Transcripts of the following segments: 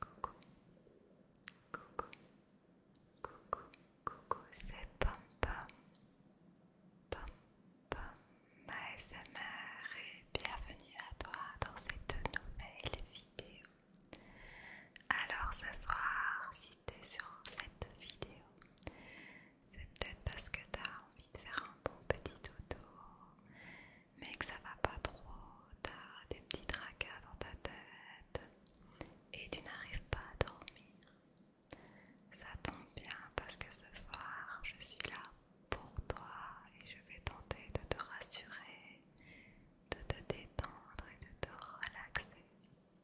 Coucou, coucou, coucou, coucou, c'est Pom Pom, Pom ma et bienvenue à toi dans cette nouvelle vidéo. Alors ce soir, si tu es sur cette vidéo, c'est peut-être parce que tu as envie de faire un bon petit dodo mais que ça va pas trop, t'as des petits tracas dans ta tête et tu n'arrives pas à dormir. Ça tombe bien parce que ce soir je suis là pour toi et je vais tenter de te rassurer, de te détendre et de te relaxer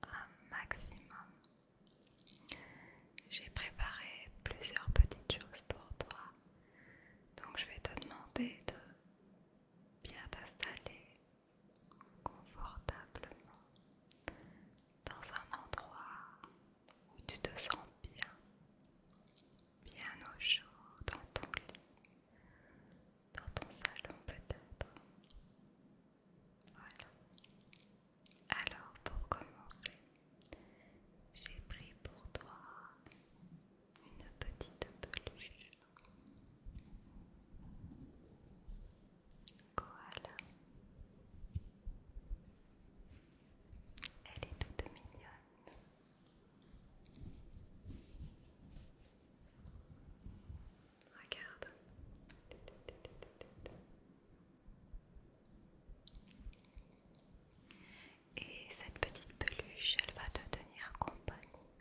un maximum. J'ai préparé plusieurs petites choses pour toi donc je vais te demander de bien t'installer confortablement dans un endroit où tu te sens bien, bien au chaud, dans ton lit, dans ton salon peut-être. Voilà. Alors pour commencer, j'ai pris pour toi une petite peluche koala. Elle est toute mignonne. Regarde et cette petite peluche, elle va te tenir compagnie.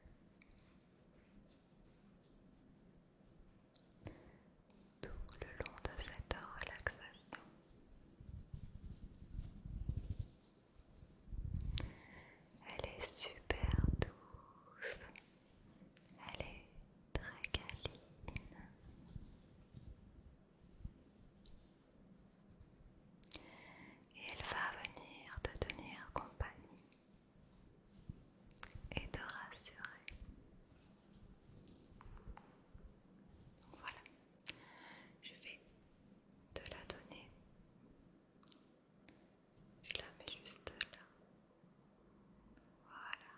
Tout le long de cette relaxation. Elle est super douce. Elle est très câline. Et elle va venir te tenir compagnie et te rassurer. Voilà, je vais te la donner. Je la mets juste là. Voilà.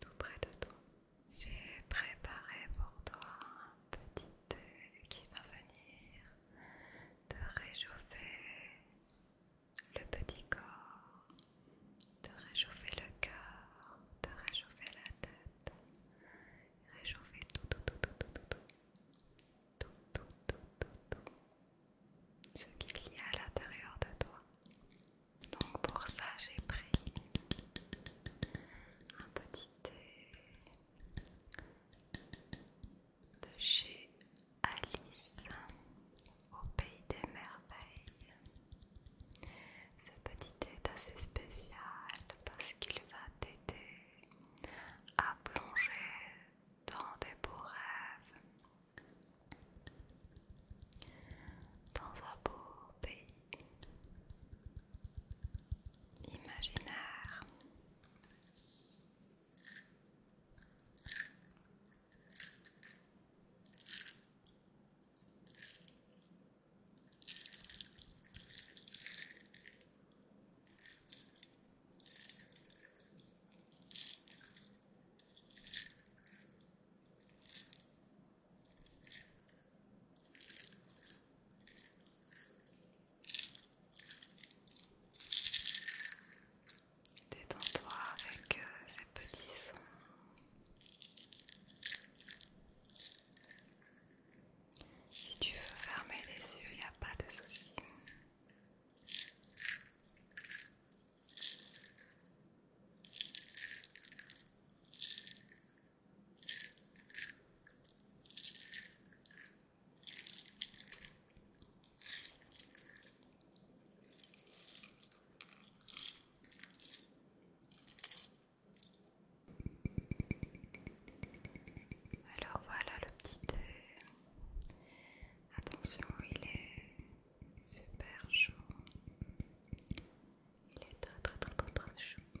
Tout près de toi. J'ai préparé pour toi un petit qui va venir te réchauffer le petit corps, te réchauffer le cœur, te réchauffer la tête, réchauffer tout, tout, tout, tout, tout, tout, tout, tout, tout, tout, tout, ce qu'il y a à l'intérieur de toi. Donc pour ça, j'ai pris un petit de chez Alice au pays des merveilles. Ce petit thé est assez spécial parce qu'il va t'aider à plonger dans des beaux rêves, dans un beau pays imaginaire. Détends-toi avec euh, ces petits sons. Si tu veux fermer les yeux, il n'y a pas de souci. Alors voilà le petit euh, Attention, il est super chaud. Il est très très très très très chaud.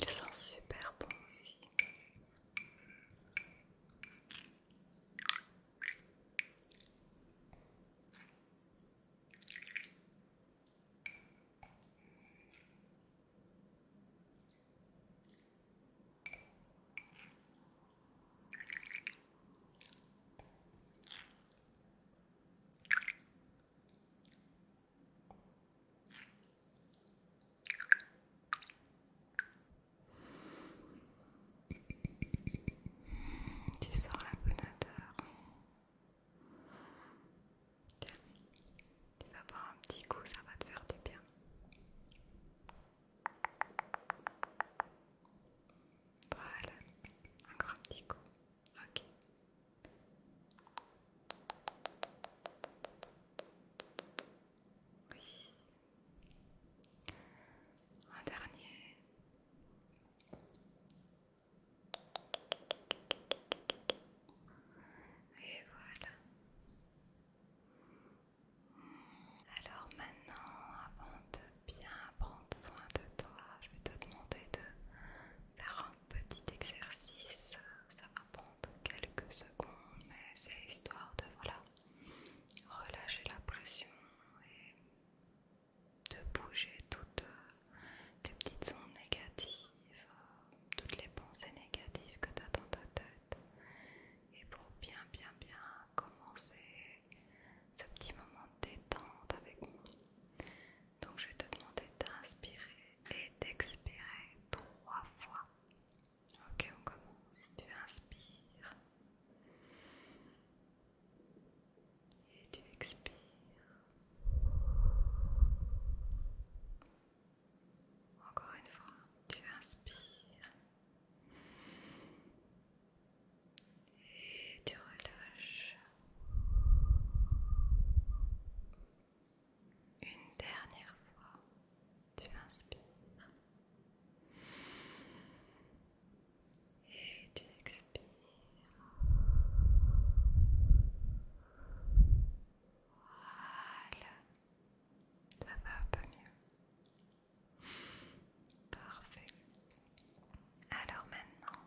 Ils sont super bons aussi. Tu sens la bonne heure tu vas boire un petit coup, ça va te faire du bien. Voilà, encore un petit coup. Ok. Oui. Un dernier. Et voilà. Alors maintenant, avant de bien prendre soin de toi, je vais te demander de faire un petit exercice. Ça va prendre quelques secondes, mais c'est histoire de voilà relâcher la pression et de bouger toutes euh, les petites ondes négatives, euh, toutes les pensées négatives que tu as dans ta tête. Et pour bien, bien, bien commencer ce petit moment de détente avec moi. Donc je vais te demander d'inspirer et d'expirer trois fois. Ok, on commence. Tu inspires et tu expires. Encore une fois, tu inspires et tu relâches. Une dernière fois, tu inspires et tu expires. Voilà. Ça va un peu mieux. Parfait. Alors maintenant,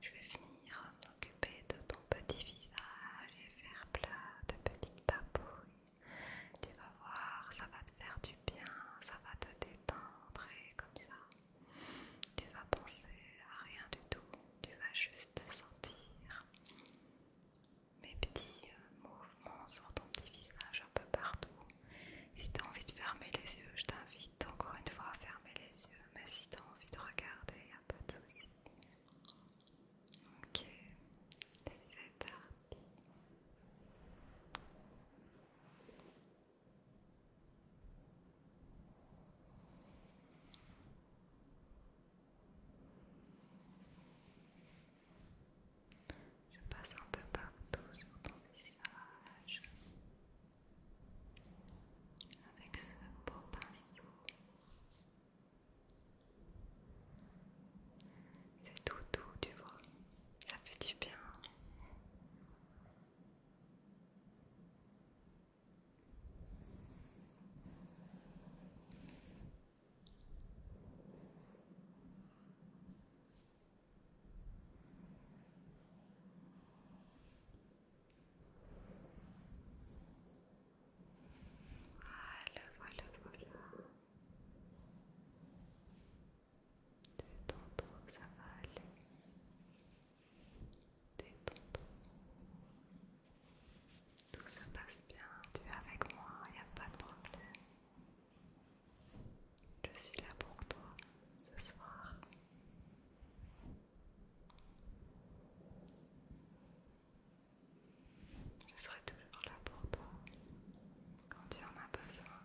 je vais finir m'occuper de ton petit visage et faire plein de petites babouilles. Tu vas voir, ça va te faire du bien, ça va te détendre et comme ça, tu vas penser à rien du tout, tu vas juste sentir mes petits euh, mouvements sur ton petit visage un peu partout. Si tu as envie de fermer les yeux, je t'invite encore une fois à fermer les yeux, mais si tu as envie de regarder, il n'y a pas de souci. Ok, c'est parti. Je passe un peu partout sur ton visage avec ce beau pinceau. C'est tout doux, tu vois. Ça fait du bien. Voilà, voilà, voilà. C'est tantôt ça va aller. Détends-toi. Tout se passe bien, tu es avec moi, il n'y a pas de problème. Je suis là pour toi ce soir. Je serai toujours là pour toi quand tu en as besoin.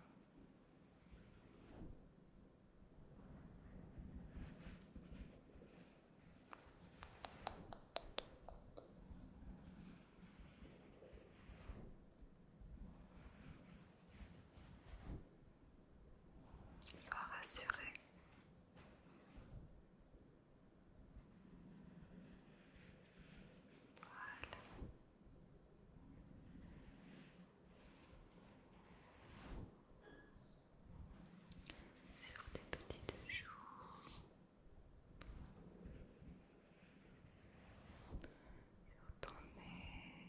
Sois rassuré. Voilà. Voilà sur tes petites joues. Sur ton nez,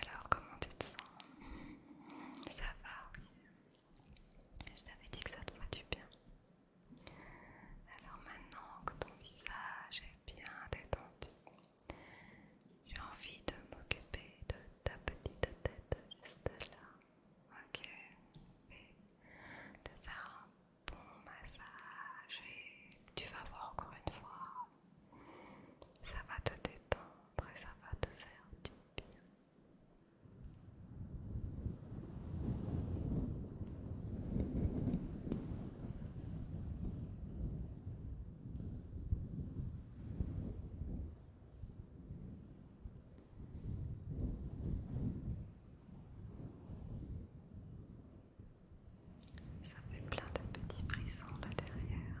alors, comment tu te sens Ça va. Je t'avais dit que ça te ferait du bien. Alors maintenant que ton visage est bien détendu, j'ai envie de m'occuper de ta petite tête juste là. Ok, et de faire un bon massage et tu vas voir encore une fois. Ça va te détendre et ça va te faire du bien. Ça fait plein de petits brissons là derrière.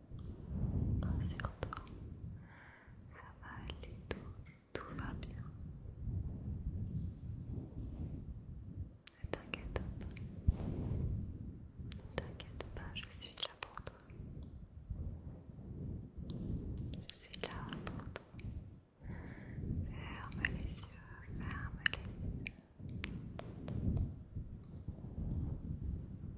Rassure-toi, ça va aller, tout, tout va bien. Ne t'inquiète pas, ne t'inquiète pas, je suis là pour toi. Je suis là pour toi. Ferme les yeux, ferme les yeux.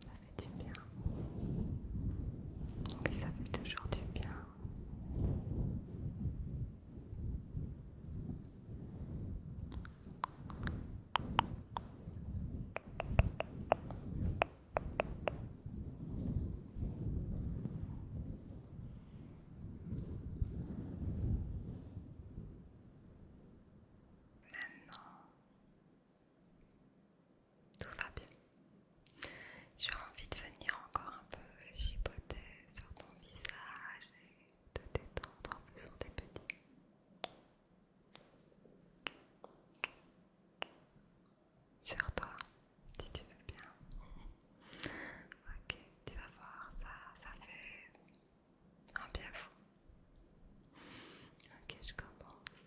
Ça fait du bien. ça fait toujours du bien. Maintenant, tout va bien. J'ai envie de venir encore un peu chipoter sur ton visage et te détendre en faisant des petits sur toi, si tu veux bien. Ok, tu vas voir, ça, ça fait un bien fou. Ok, je commence.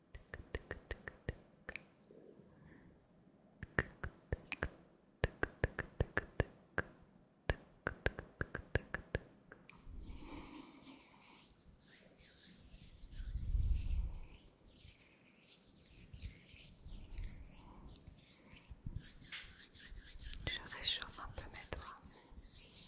Je réchauffe un peu mes doigts.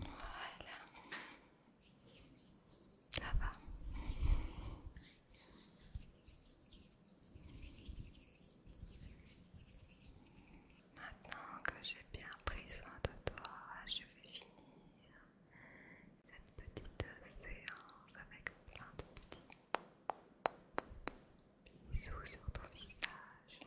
Voilà. Ça va. Maintenant que j'ai bien pris soin de toi, je vais finir cette petite séance avec plein de petits bisous sur ton visage.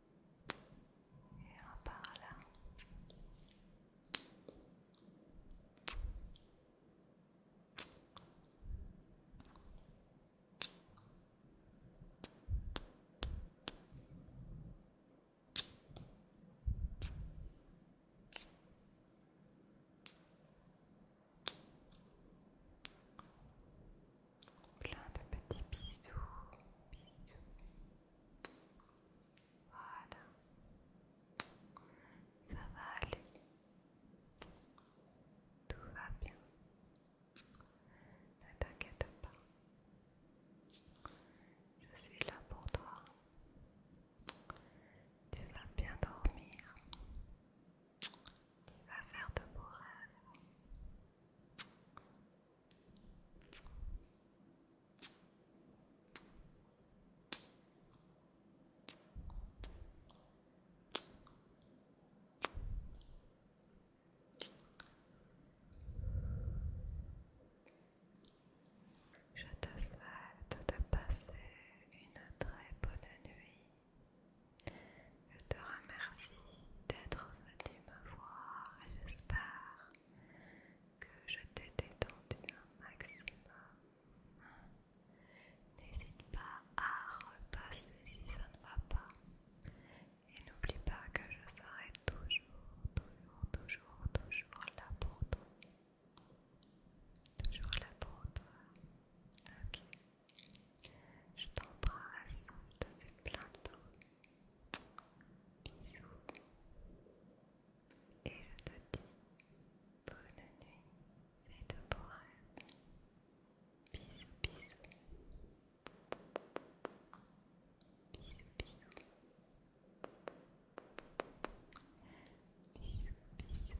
Et un par là. Plein de petits bisous, bisous, voilà. Ça va aller. Tout va bien. Ne t'inquiète pas. Je suis là pour toi. Tu vas bien dormir. Tu vas faire de beaux rêves. Je te souhaite de passer une très bonne nuit. Je te remercie d'être venu me voir. J'espère que je t'ai détendu un maximum. N'hésite pas à repasser si ça ne va pas. Et n'oublie pas que je serai toujours, toujours, toujours, toujours là pour toi. Toujours là pour toi. Ok. Je t'embrasse, je te fais plein de bruit. Bisous. Et le te dis bonne nuit et de beaux rêves. Bisous, bisous. Bisous, bisous. Bisous, bisous.